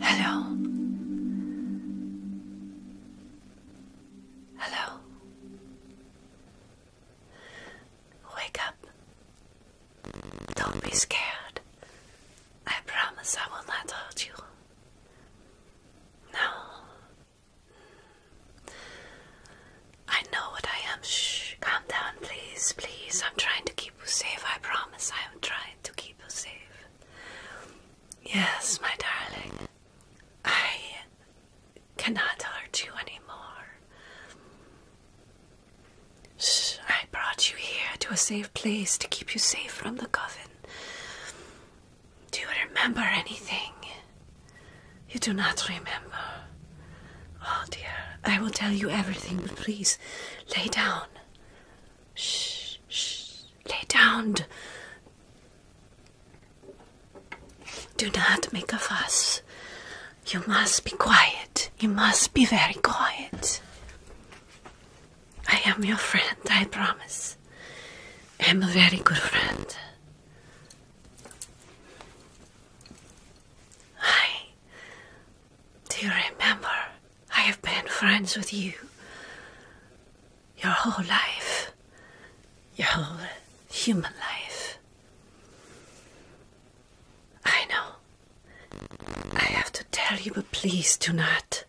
Hello. Hello. Wake up. Don't be scared. I promise I will not hurt you. No. I know what I am. Shh, calm down, please, please. I'm trying to keep you safe. I promise I am trying to keep you safe. Yes, my darling. I cannot hurt you anymore. Shh, I brought you here to a safe place to keep you safe from the coffin. Do you remember anything? You do not remember. Oh dear, I will tell you everything, but please lay down. Shh, shh, lay down. Do not make a fuss. You must be quiet. You must be very quiet. I am your friend, I promise. I am a very good friend. Hi. Do you remember? I have been friends with you your whole life, your whole human life. I know. I have to tell you, but please do not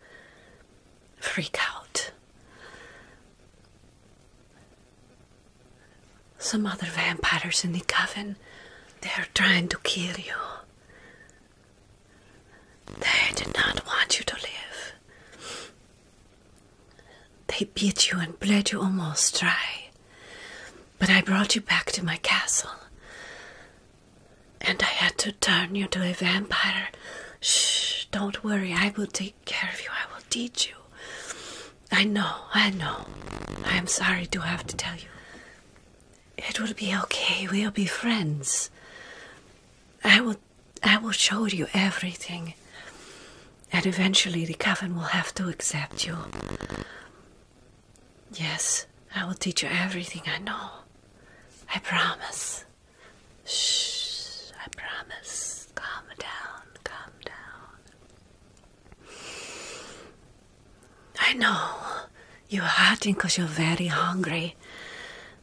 freak out. Some other vampires in the coven. They're trying to kill you. They did not want you to live. They beat you and bled you almost dry. But I brought you back to my castle. And I had to turn you to a vampire. Shh, don't worry. I will take care of you. I will teach you. I know, I know. I am sorry to have to tell you. It will be okay. We'll be friends. I will I will show you everything. And eventually the coven will have to accept you. Yes, I will teach you everything I know. I promise. Shh, I promise. Calm down, calm down. I know you're hurting because you're very hungry.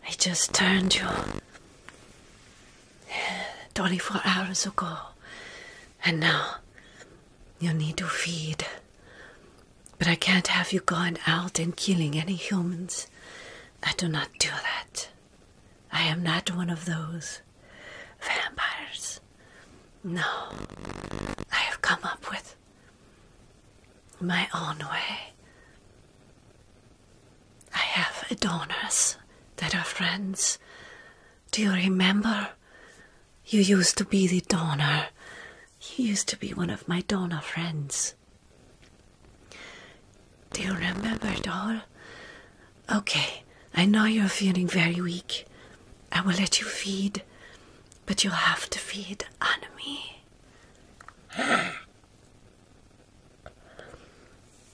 I just turned you 24 hours ago, and now you need to feed. But I can't have you going out and killing any humans. I do not do that. I am not one of those vampires. No, I have come up with my own way. I have adorners that are friends. Do you remember? You used to be the donor. You used to be one of my donor friends. Do you remember it all? Okay, I know you're feeling very weak. I will let you feed, but you'll have to feed Anami.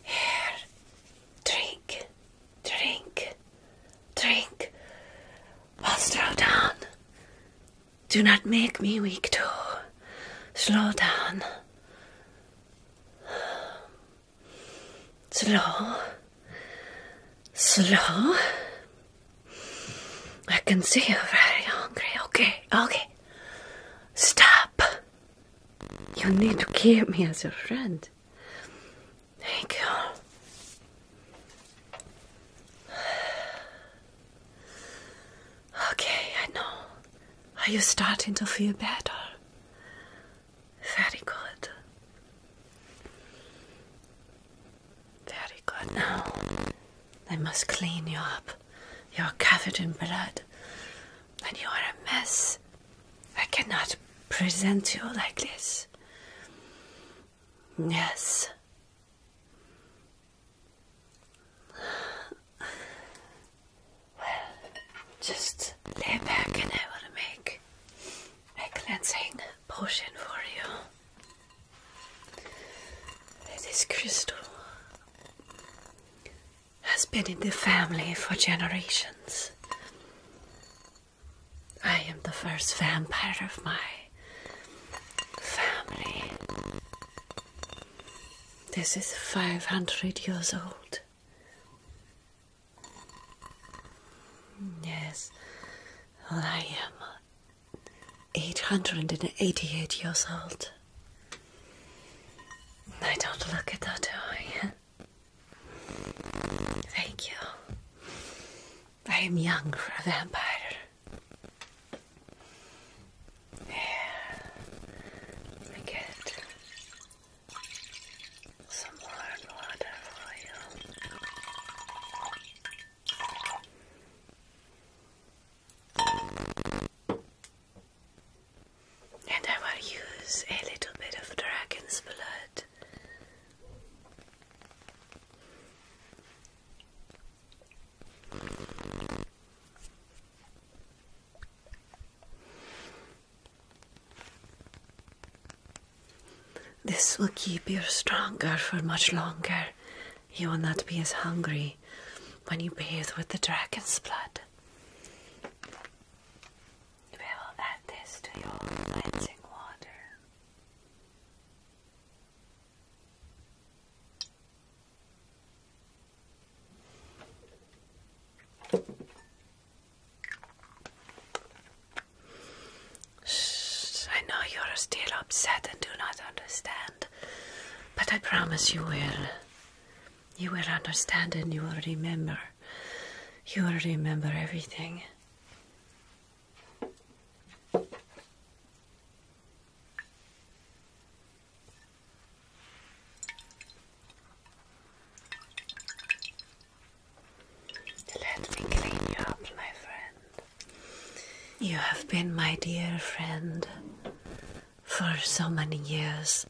Here, drink, drink, drink. slow down. Do not make me weak, too. Slow down. Slow. Slow. I can see you're very hungry. Okay, okay. Stop. You need to keep me as your friend. Thank you. Okay, I know. Are you starting to feel better? Very good. Very good. Now, I must clean you up. You're covered in blood, and you are a mess. I cannot present you like this. Yes. Well, just lay back and I will make a cleansing potion for you. This crystal has been in the family for generations. I am the first vampire of my family. This is 500 years old. Yes, I am 888 years old. I don't look it that, do I? Thank you. I am young for a vampire. Yeah, I get it some warm water for you. And I will use a little bit of dragon's blood. This will keep you stronger for much longer. You will not be as hungry when you bathe with the dragon's blood. We will add this to your cleansing water. I know you're still upset and do not understand, but I promise you will. You will understand and you will remember. You will remember everything. Let me clean you up, my friend. You have been my dear friend for so many years.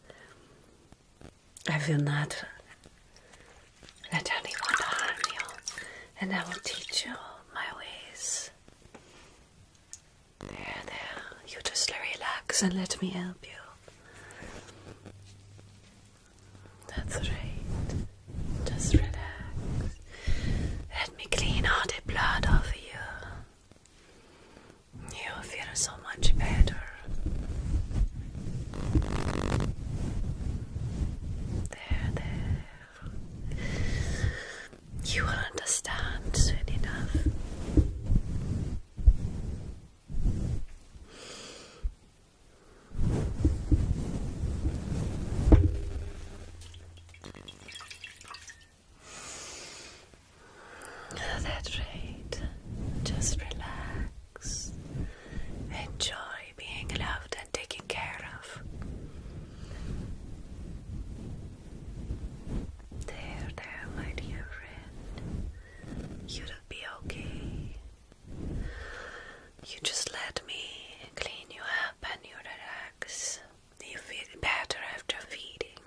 I will not let anyone harm you, and I will teach you my ways. There, there, you just relax and let me help you. That's right. Just relax. Let me clean all the blood off you. You'll feel so much better. There, there. You will understand soon enough. That's right. Just relax. Enjoy being loved and taken care of. There, there, my dear friend. You'll be okay. You just let me clean you up and you relax. You feel better after feeding.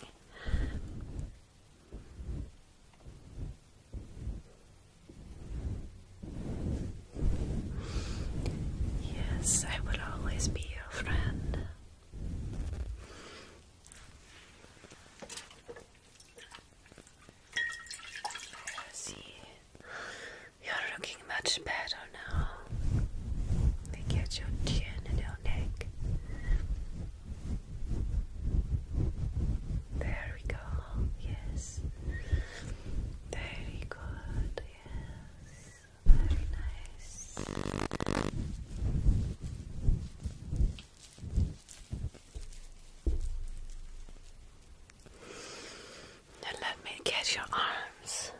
Yes, I will always be your friend. See, you're looking much better now. Look at your chin and your neck. There we go. Yes. Very good. Yes. Very nice. Now let me get your arms.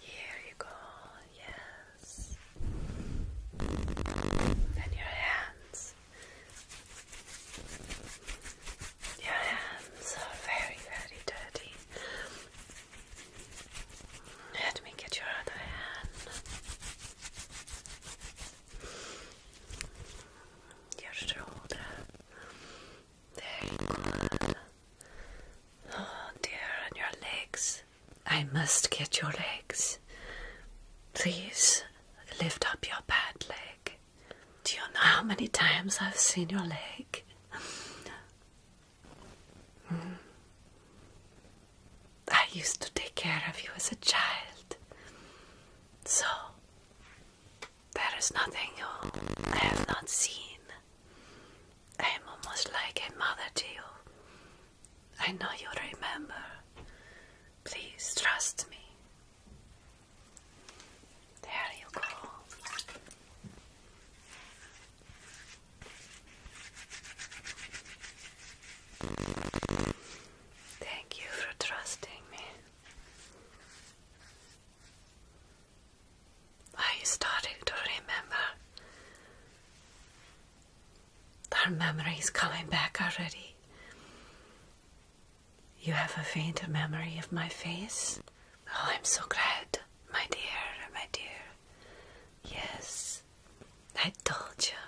Here you go, yes. Then your hands. Your hands are very, very dirty. Let me get your other hand. Your shoulder. There you go. Oh dear, and your legs. I must get your legs. Please lift up your bad leg. Do you know how many times I've seen your leg? Mm-hmm. I used to take care of you as a child. So, there is nothing you have not seen. I am almost like a mother to you. I know you remember. Please trust me. There you go. Thank you for trusting me. Are you starting to remember? Our memory is coming back already. You have a faint memory of my face. Oh, I'm so glad, my dear, my dear. Yes, I told you.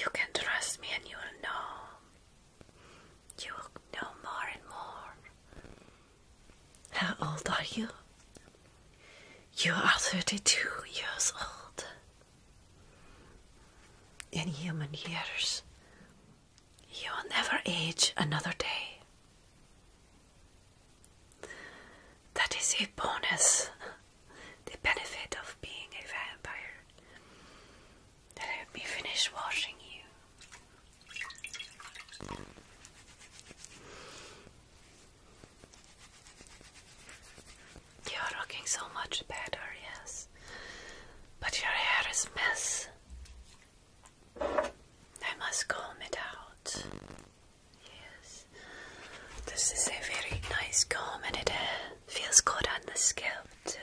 You can trust me and you'll know. You'll know more and more. How old are you? You are 32 years old. In human years, you will never age another day. That is a bonus, the benefit of being a vampire. Let me finish washing you. You're looking so much better, yes. But your hair is mess. I must comb it out. Yes. This is a very nice comb and it uh, feels good on the scalp too.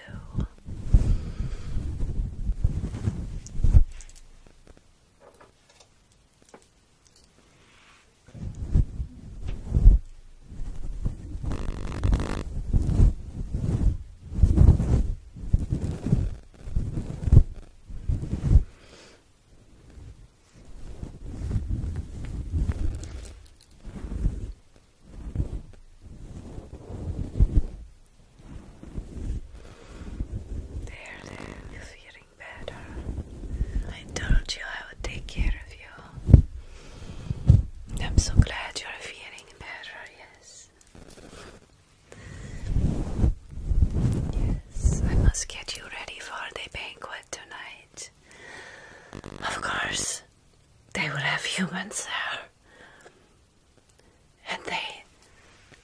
There, there, you're feeling better. I told you I would take care of you. I'm so glad you're feeling better, yes. Yes, I must get you ready for the banquet tonight. Of course, they will have humans there. And they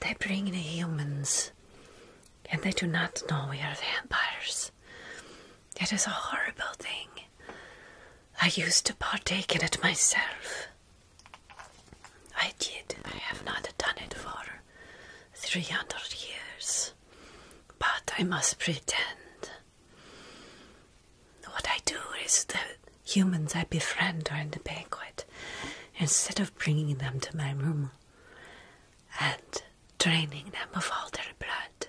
they bring the humans and they do not know we are vampires. It is a horrible thing. I used to partake in it myself. I did. I have not done it for 300 years, but I must pretend. What I do is that humans I befriend are in the banquet, instead of bringing them to my room and draining them of all their blood,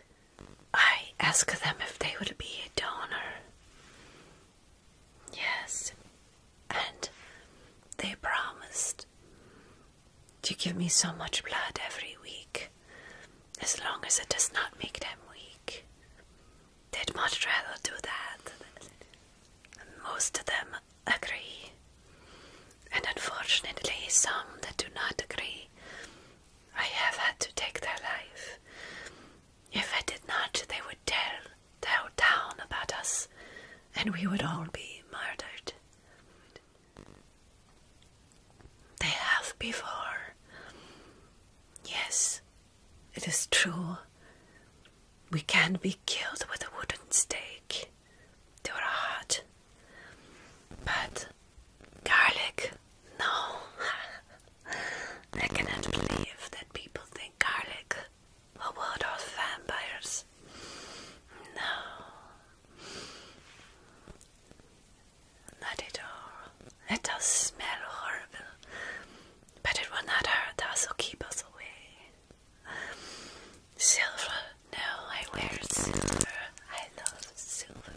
I ask them if they would be a donor. Yes, and they promised to give me so much blood every week as long as it does not make them weak. They'd much rather do that. Most of them agree, and unfortunately, some that do not agree, I have had to take their life. If I did not, they would tell tell down about us, and we would all be murdered. They have before. Yes, it is true. We can be killed with a wooden stake they are hot. But garlic, no. I cannot believe that people think garlic a world of vampires. No. Not at all. It does smell horrible, but it will not hurt us or keep us away. Silver. No, I wear silver. I love silver.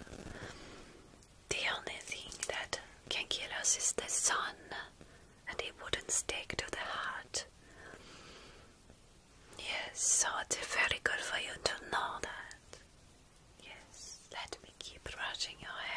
The only thing that can kill us is the sun and it wouldn't stick to the heart. Yes, so it's very good for you to know that. Yes, let me keep brushing your hair.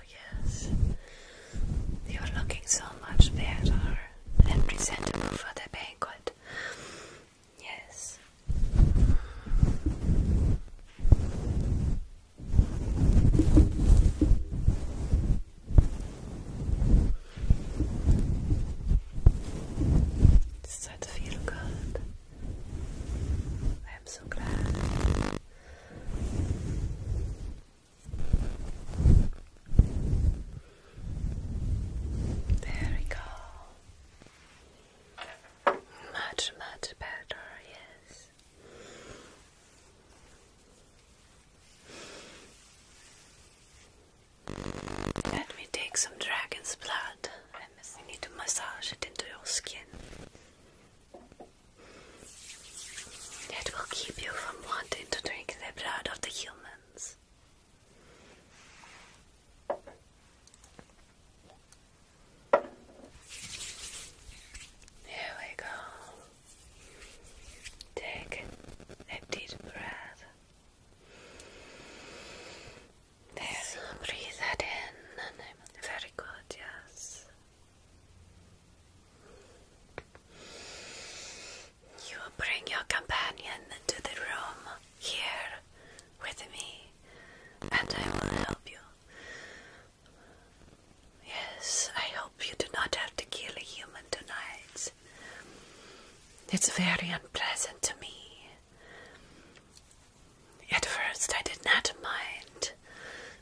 Oh, yes. You are looking so much better and presentable for the banquet. Yes. It's starting good. I'm so glad. There we go. Much, much better, yes. Let me take some dragon's blood and we need to massage it into your skin. It will keep you from wanting to drink the blood of the humans. Here we go. Take a deep breath. There, breathe that in. Very good, yes. You bring your companion to the room here with me, and I will help you. Yes, I hope you do not have to kill a human tonight. It's very unpleasant to me. At first, I did not mind,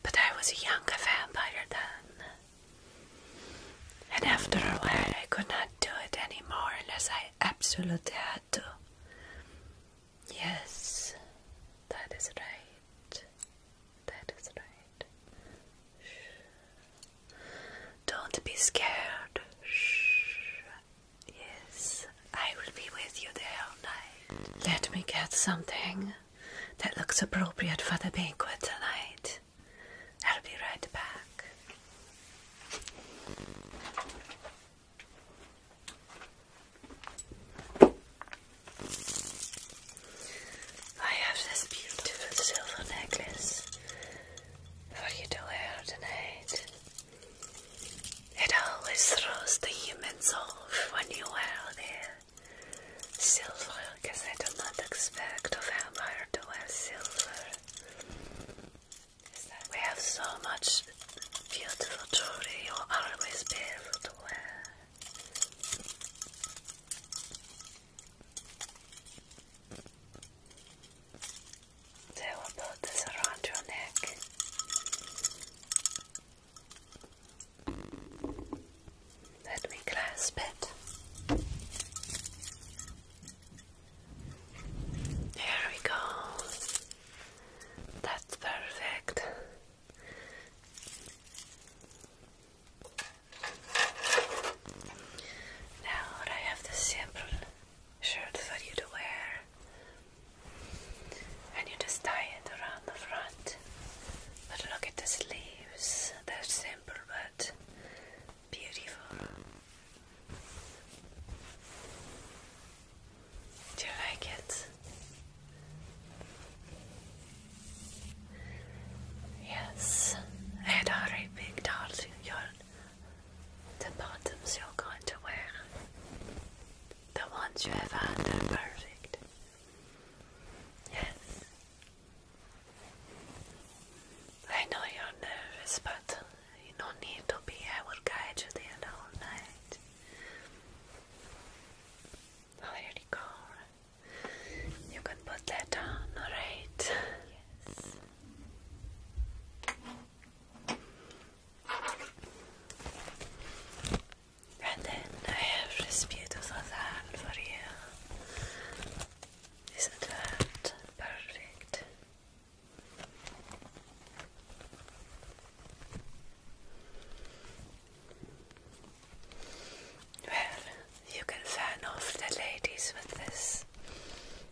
but I was a young vampire then. And after a while, I could not do it anymore unless I absolutely had to. Yes, that is right. That is right. Shh. Don't be scared. Shh. Yes, I will be with you there all night. Let me get something that looks appropriate for the banquet tonight. I'll be right back. I have this beautiful silver necklace for you to wear tonight. It always throws the humans off when you wear this. Silver, because I do not expect of Empire to wear silver. we have so much beautiful jewelry, you will always be able to wear. They will put this around your neck. Let me clasp it. There we go. That's perfect. Now I have the simple shirt for you to wear and you just tie it around the front. But look at the sleeves, they're simple but beautiful. Do you like it? Yes, and I already picked out the bottoms you're going to wear. The ones you have had are perfect. Yes. I know you're nervous, but you no need to be. I will guide you the whole night. Oh, you go. You can put that down, alright? Yes. And then I have this beautiful hand for you. Isn't that perfect? Well, you can fan off the ladies with this.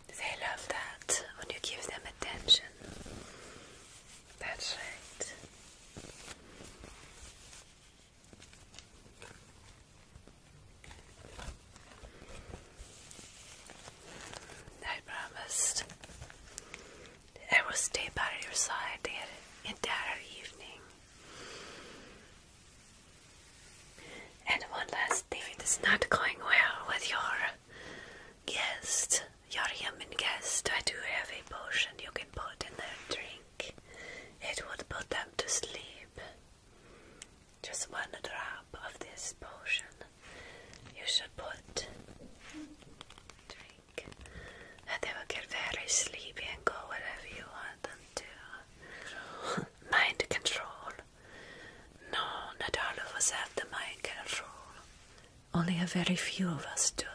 They love that when you give them attention. That's right. I promised I will stay by your side the entire evening. And one last thing, it's not going well with your guest your human guest, I do have a potion you can put in their drink. It would put them to sleep. Just one drop of this potion you should put drink. And they will get very sleepy and go wherever you want them to. Mind control. No, not all of us have the mind control. Only a very few of us do.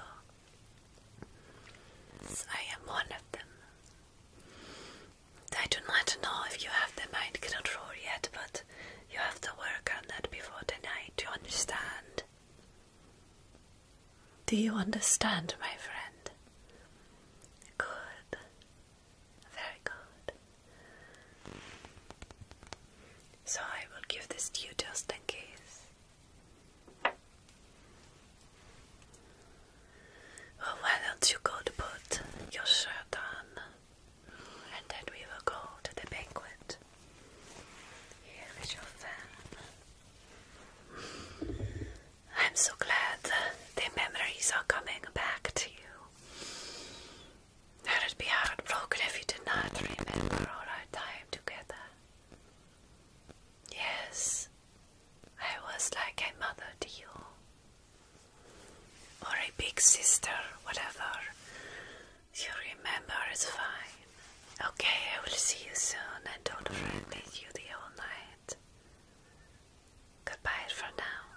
I am one of them. I do not know if you have the mind control yet, but you have to work on that before tonight. Do you understand? Do you understand, my friend? Good. Very good. So I will give this to you just in case. Oh, why don't you go to put your shirt on and then we will go to the banquet. Here is your fan. I'm so glad the memories are coming back to you. That would be heartbroken if you did not remember all our time together. Yes, I was like a mother to you, or a big sister, whatever you remember it's fine. Okay, I will see you soon, and don't fret with you the whole night. Goodbye for now.